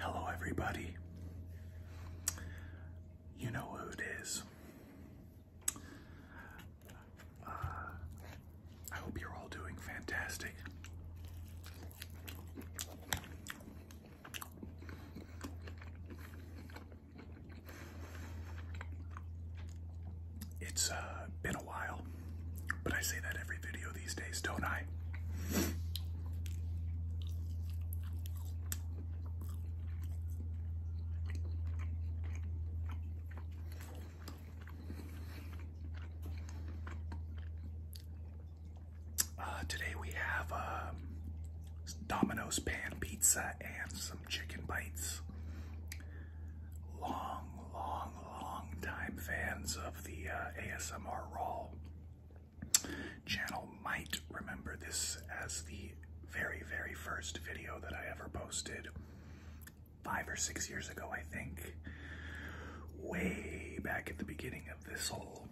Hello, everybody. You know who it is. Uh, I hope you're all doing fantastic. It's uh, been a while, but I say that every video these days, don't I? Uh, today we have um, Domino's pan pizza and some chicken bites. Long, long, long time fans of the uh, ASMR Raw channel might remember this as the very, very first video that I ever posted five or six years ago, I think. Way back at the beginning of this whole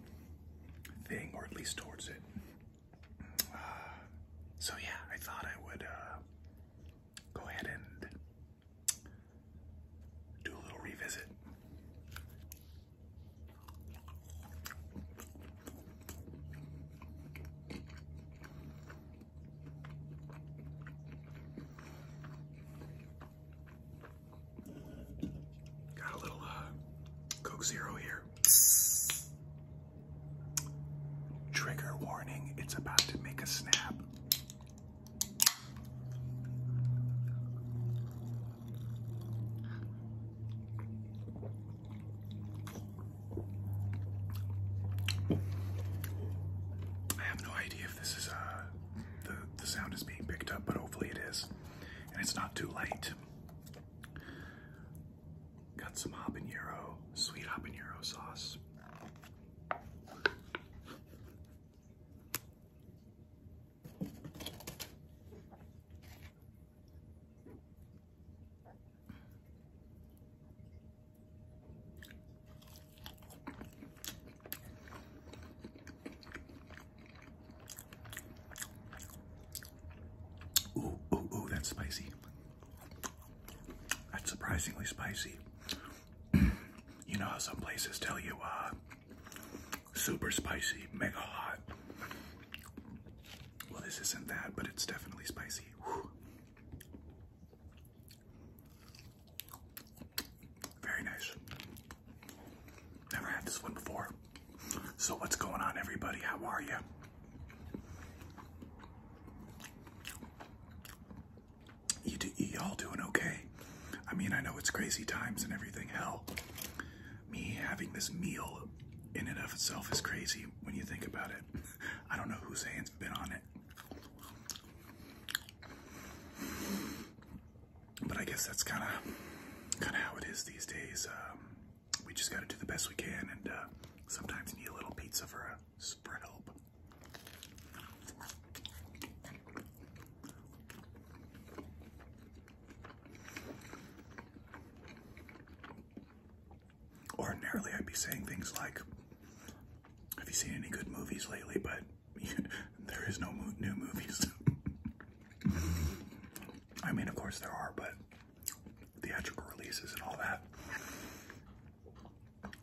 thing, or at least towards it. Uh, so, yeah, I thought I would uh, go ahead and do a little revisit. Got a little uh, Coke Zero here. Trigger warning, it's about to make a snap. I have no idea if this is uh, the the sound is being picked up, but hopefully it is, and it's not too late. Got some habanero, sweet habanero sauce. Ooh, ooh, ooh, that's spicy. That's surprisingly spicy. you know how some places tell you, uh, super spicy, mega hot. Well, this isn't that, but it's definitely spicy. Very nice. Never had this one before. So, what's going on, everybody? How are you? y'all doing okay? I mean, I know it's crazy times and everything. Hell, me having this meal in and of itself is crazy when you think about it. I don't know whose hands has been on it. But I guess that's kind of kind of how it is these days. Um, we just got to do the best we can, and uh, sometimes need a little pizza for a uh, spread help. Ordinarily, I'd be saying things like, Have you seen any good movies lately? But there is no new movies. I mean, of course, there are, but theatrical releases and all that.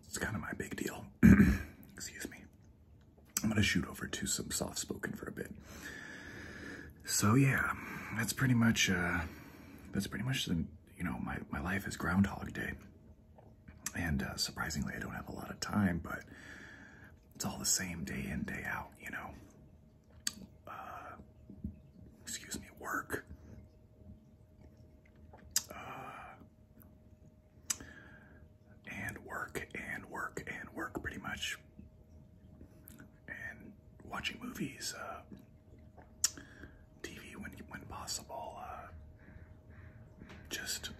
It's kind of my big deal. Excuse me. I'm gonna shoot over to some soft spoken for a bit. So yeah, that's pretty much uh, that's pretty much the you know my my life is Groundhog Day, and uh, surprisingly I don't have a lot of time, but it's all the same day in day out, you know. Uh, excuse me, work. Uh, and work and work and work pretty much and watching movies uh, tv when when possible uh, just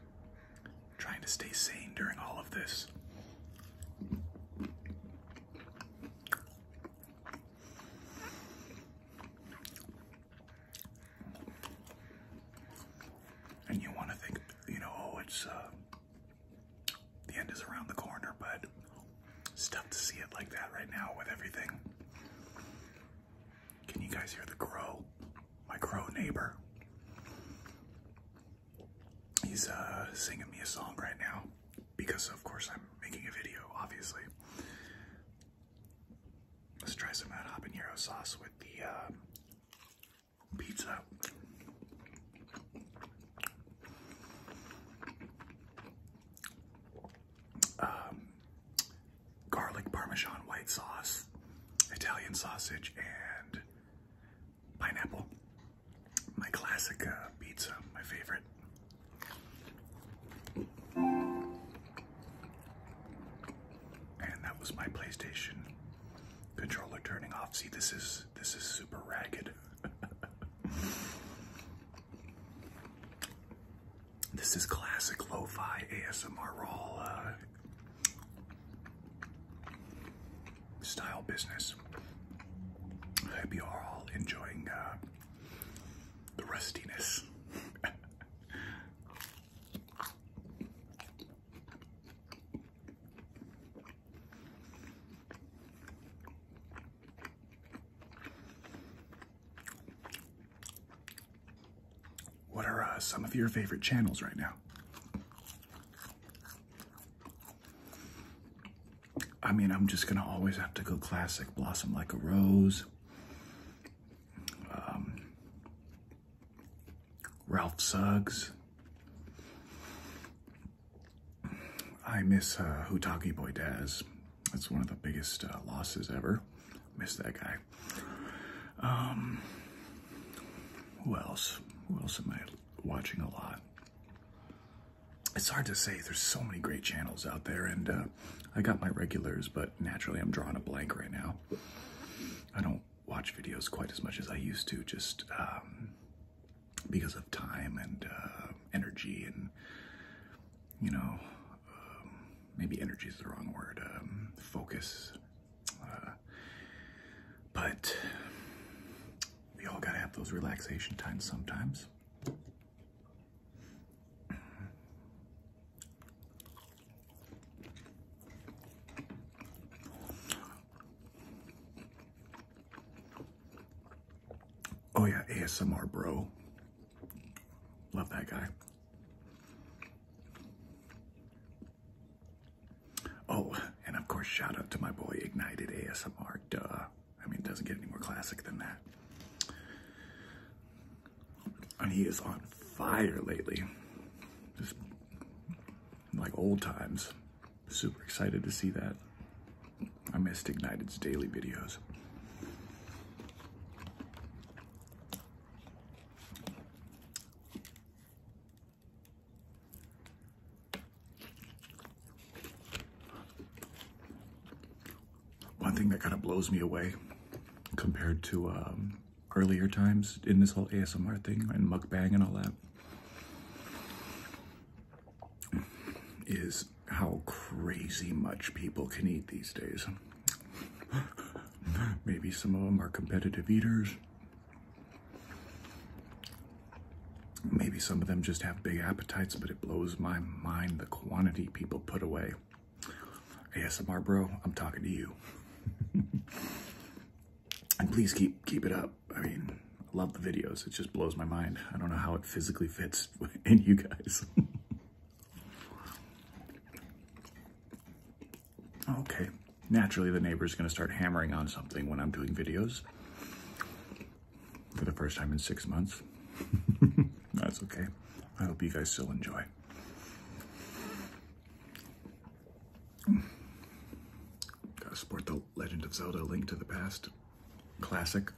trying to stay sane during all of this and you want to think, you know, oh, it's uh, the end is around the corner, but it's tough to see it like that right now with everything. Can you guys hear the crow? My crow neighbor. He's uh, singing me a song right now because, of course, I'm making a video, obviously. Let's try some Hot Habanero sauce with the uh, pizza. Um, garlic parmesan white sauce, Italian sausage, and pineapple. My classic uh, pizza, my favorite. And that was my PlayStation Controller turning off. See, this is this is super ragged. this is classic lo-fi ASMR roll uh, style business. I hope you are all enjoying uh, the rustiness. What are uh, some of your favorite channels right now? I mean, I'm just gonna always have to go classic Blossom Like a Rose. Um, Ralph Suggs. I miss uh, Boy Boydaz. That's one of the biggest uh, losses ever. Miss that guy. Um, who else? Who else am I watching a lot? It's hard to say. There's so many great channels out there, and uh, I got my regulars, but naturally I'm drawing a blank right now. I don't watch videos quite as much as I used to, just um, because of time and uh, energy and, you know, um, maybe energy is the wrong word, um, focus. Uh, but we all gotta have those relaxation times sometimes. Oh yeah, ASMR bro. Love that guy. Oh, and of course, shout out to my boy Ignited ASMR. Duh. I mean, it doesn't get any more classic than that and he is on fire lately. Just like old times. Super excited to see that. I missed Ignited's daily videos. One thing that kind of blows me away compared to um, earlier times in this whole ASMR thing and mukbang and all that is how crazy much people can eat these days. Maybe some of them are competitive eaters. Maybe some of them just have big appetites, but it blows my mind the quantity people put away. ASMR bro, I'm talking to you. and please keep keep it up. I mean, I love the videos. It just blows my mind. I don't know how it physically fits in you guys. okay. Naturally, the neighbor's going to start hammering on something when I'm doing videos for the first time in six months. That's okay. I hope you guys still enjoy. Gotta support the Legend of Zelda Link to the Past classic.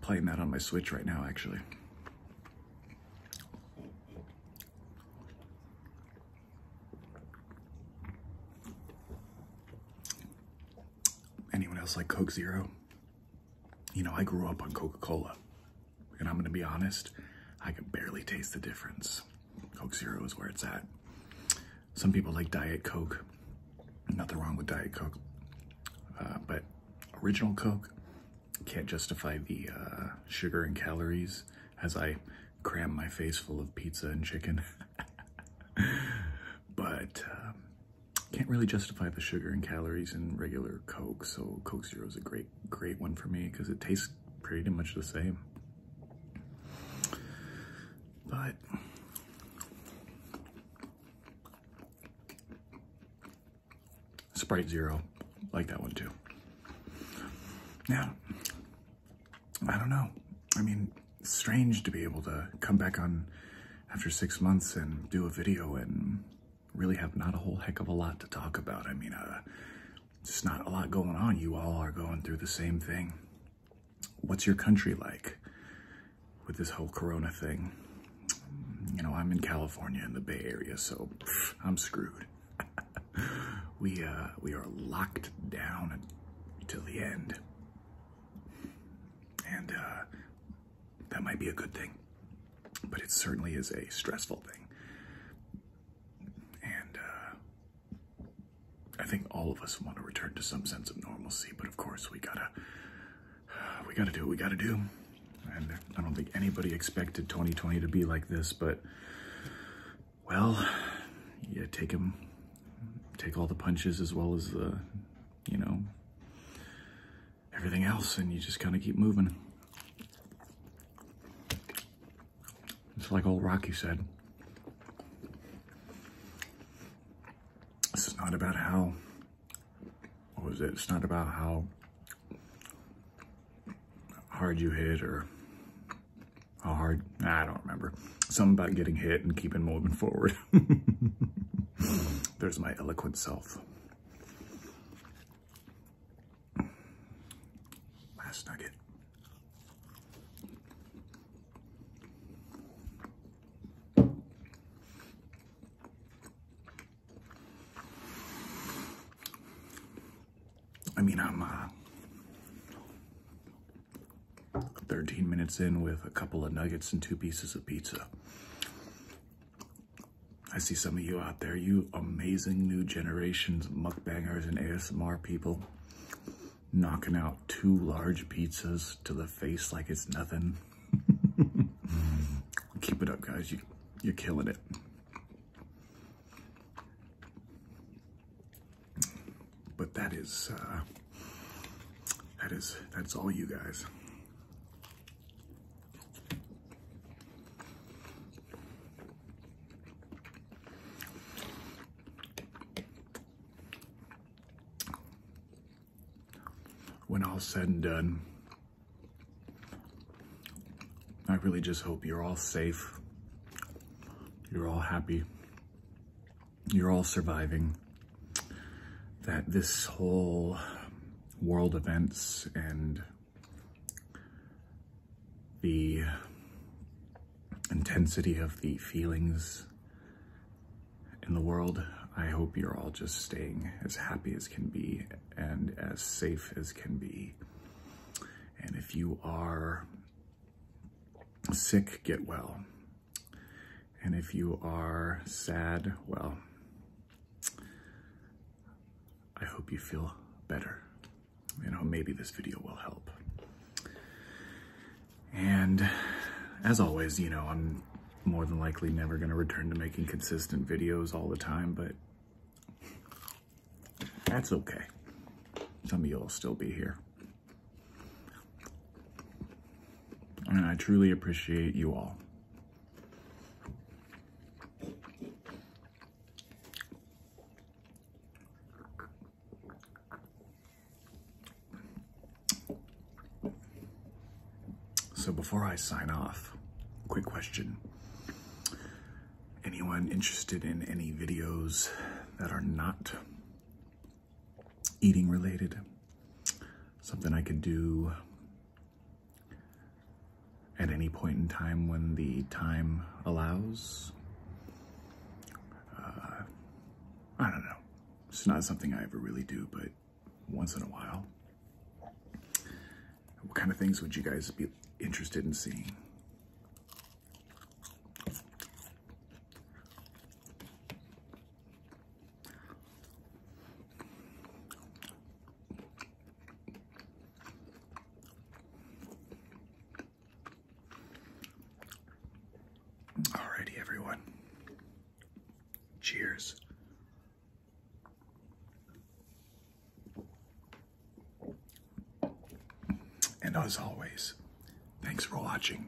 playing that on my Switch right now, actually. Anyone else like Coke Zero? You know, I grew up on Coca Cola. And I'm gonna be honest, I can barely taste the difference. Coke Zero is where it's at. Some people like Diet Coke. Nothing wrong with Diet Coke. Uh, but original Coke can't justify the uh, sugar and calories as I cram my face full of pizza and chicken. but um, can't really justify the sugar and calories in regular Coke, so Coke Zero is a great, great one for me because it tastes pretty much the same. But Sprite Zero, like that one too. Yeah, I don't know. I mean, strange to be able to come back on after six months and do a video and really have not a whole heck of a lot to talk about. I mean, uh, just not a lot going on. You all are going through the same thing. What's your country like with this whole corona thing? You know, I'm in California in the Bay Area, so I'm screwed. we uh, we are locked down until the end. And uh, that might be a good thing, but it certainly is a stressful thing. And uh, I think all of us want to return to some sense of normalcy, but of course we gotta we gotta do what we gotta do. And I don't think anybody expected 2020 to be like this, but well, yeah, take him, take all the punches as well as the, you know, everything else and you just kind of keep moving. It's like old Rocky said. This is not about how, what was it? It's not about how hard you hit or how hard, I don't remember. Something about getting hit and keeping moving forward. There's my eloquent self. Last nugget. I mean, I'm uh, 13 minutes in with a couple of nuggets and two pieces of pizza. I see some of you out there, you amazing new generations, mukbangers and ASMR people, knocking out two large pizzas to the face like it's nothing. Keep it up, guys. You, are killing it. But that is, uh, that is, that's all you guys. When all said and done, I really just hope you're all safe, you're all happy, you're all surviving, that this whole world events and the intensity of the feelings in the world, I hope you're all just staying as happy as can be and as safe as can be. And if you are sick, get well. And if you are sad, well, I hope you feel better. You know, maybe this video will help. And as always, you know, I'm more than likely never going to return to making consistent videos all the time, but that's okay. Some of you will still be here. And I truly appreciate you all. So before I sign off, quick question. Anyone interested in any videos that are not eating related, something I could do at any point in time when the time allows. Uh, I don't know. It's not something I ever really do, but once in a while. What kind of things would you guys be interested in seeing? Alrighty, everyone. Cheers. And as always, thanks for watching.